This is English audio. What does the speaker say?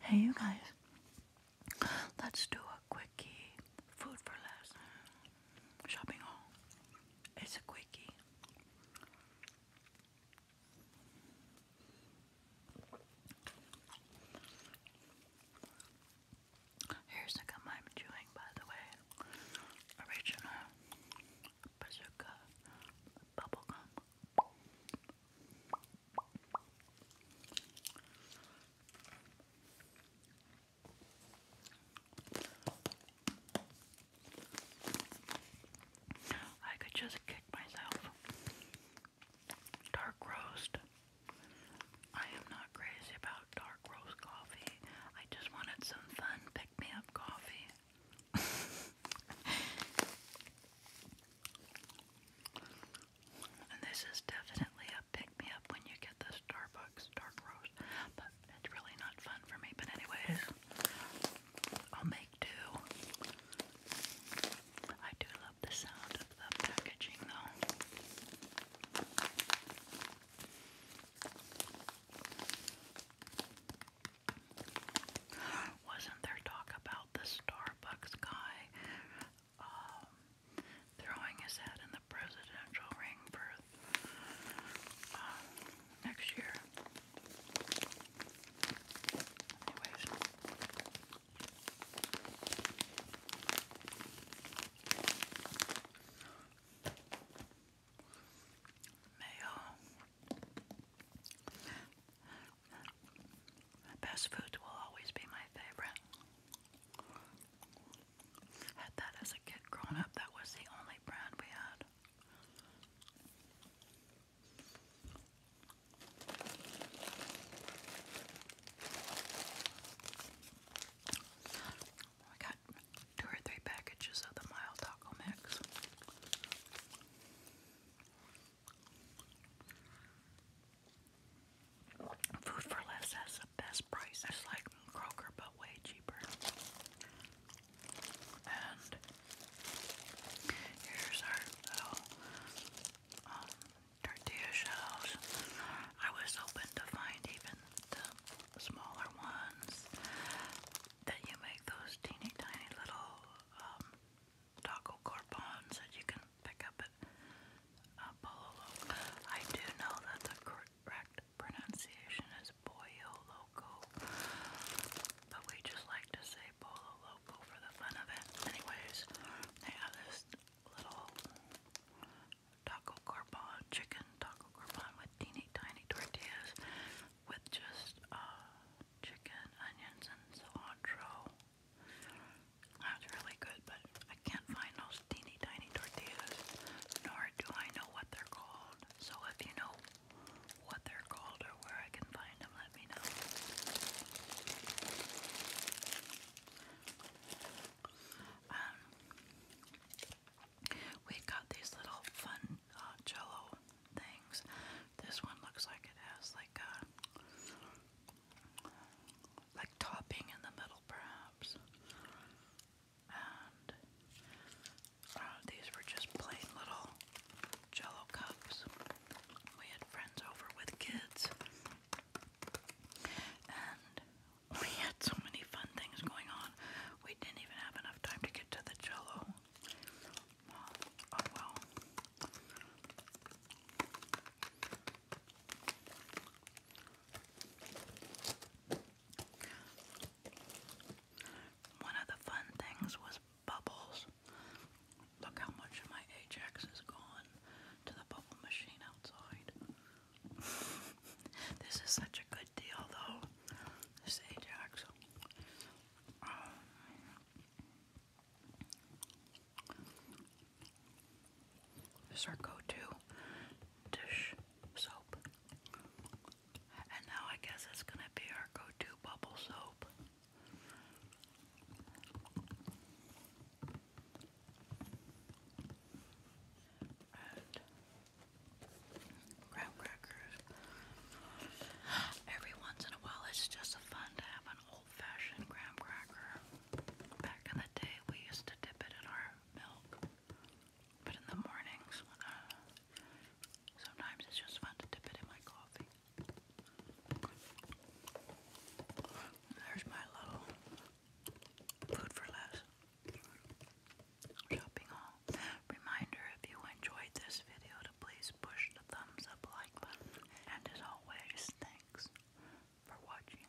Hey, you guys, let's do a quickie food for less shopping haul. It's a quickie. Here's the gum I'm chewing, by the way. Original bazooka bubblegum. I could just kick myself. Dark roast. I am not crazy about dark roast coffee. I just wanted some fun pick me up coffee this is definitely a pick me up when you get the Starbucks dark roast, but it's really not fun for me. But, anyways, I'll make do. I do love the sound of the packaging, though. Wasn't there talk about the Starbucks guy um, throwing his head in the presidential ring for uh, next year? Anyways mayo. Best foods will always be my favorite. Had that as a kid growing up, that was the only brand we had. I got two or three packages of the mild taco mix. Food for Less has the best price. It's like Kroger, but way cheaper. And here's our um, tortilla shells. I was hoping to find even the smaller ones that you make those teeny tiny little um, taco corpons that you can pick up at uh, I do know that the correct pronunciation is Pollo but we just like to say Pollo for the fun of it. Anyways, they have this little taco carbon, chicken taco carbon with teeny tiny tortillas with just uh, chicken, onions, and cilantro. That's really good, but I can't find those teeny tiny tortillas, nor do I know what they're called. So if you know what they're called or where I can find them, um, we got these little fun uh, jello things. This one looks like it has like a uh, like topping in the middle, perhaps. And uh, these were just plain little jello cups we had friends over with kids, and we had so many fun things going on. We didn't even have enough time to get to the jello. Oh well. One of the fun things was bubbles. Look how much of my Ajax is gone to the bubble machine outside. this is such a good deal, though. This Ajax. Um, is our go-to dish soap. And now I guess it's gonna be our go-to bubble soap. And graham crackers. Every once in a while it's just fun to have an old-fashioned graham cracker. Back in the day we used to dip it in our milk but in the mornings, uh, sometimes it's just fun to dip it in my coffee. There's my little food for less shopping haul. Reminder if you enjoyed this video to please push the thumbs up like button. And as always, thanks for watching.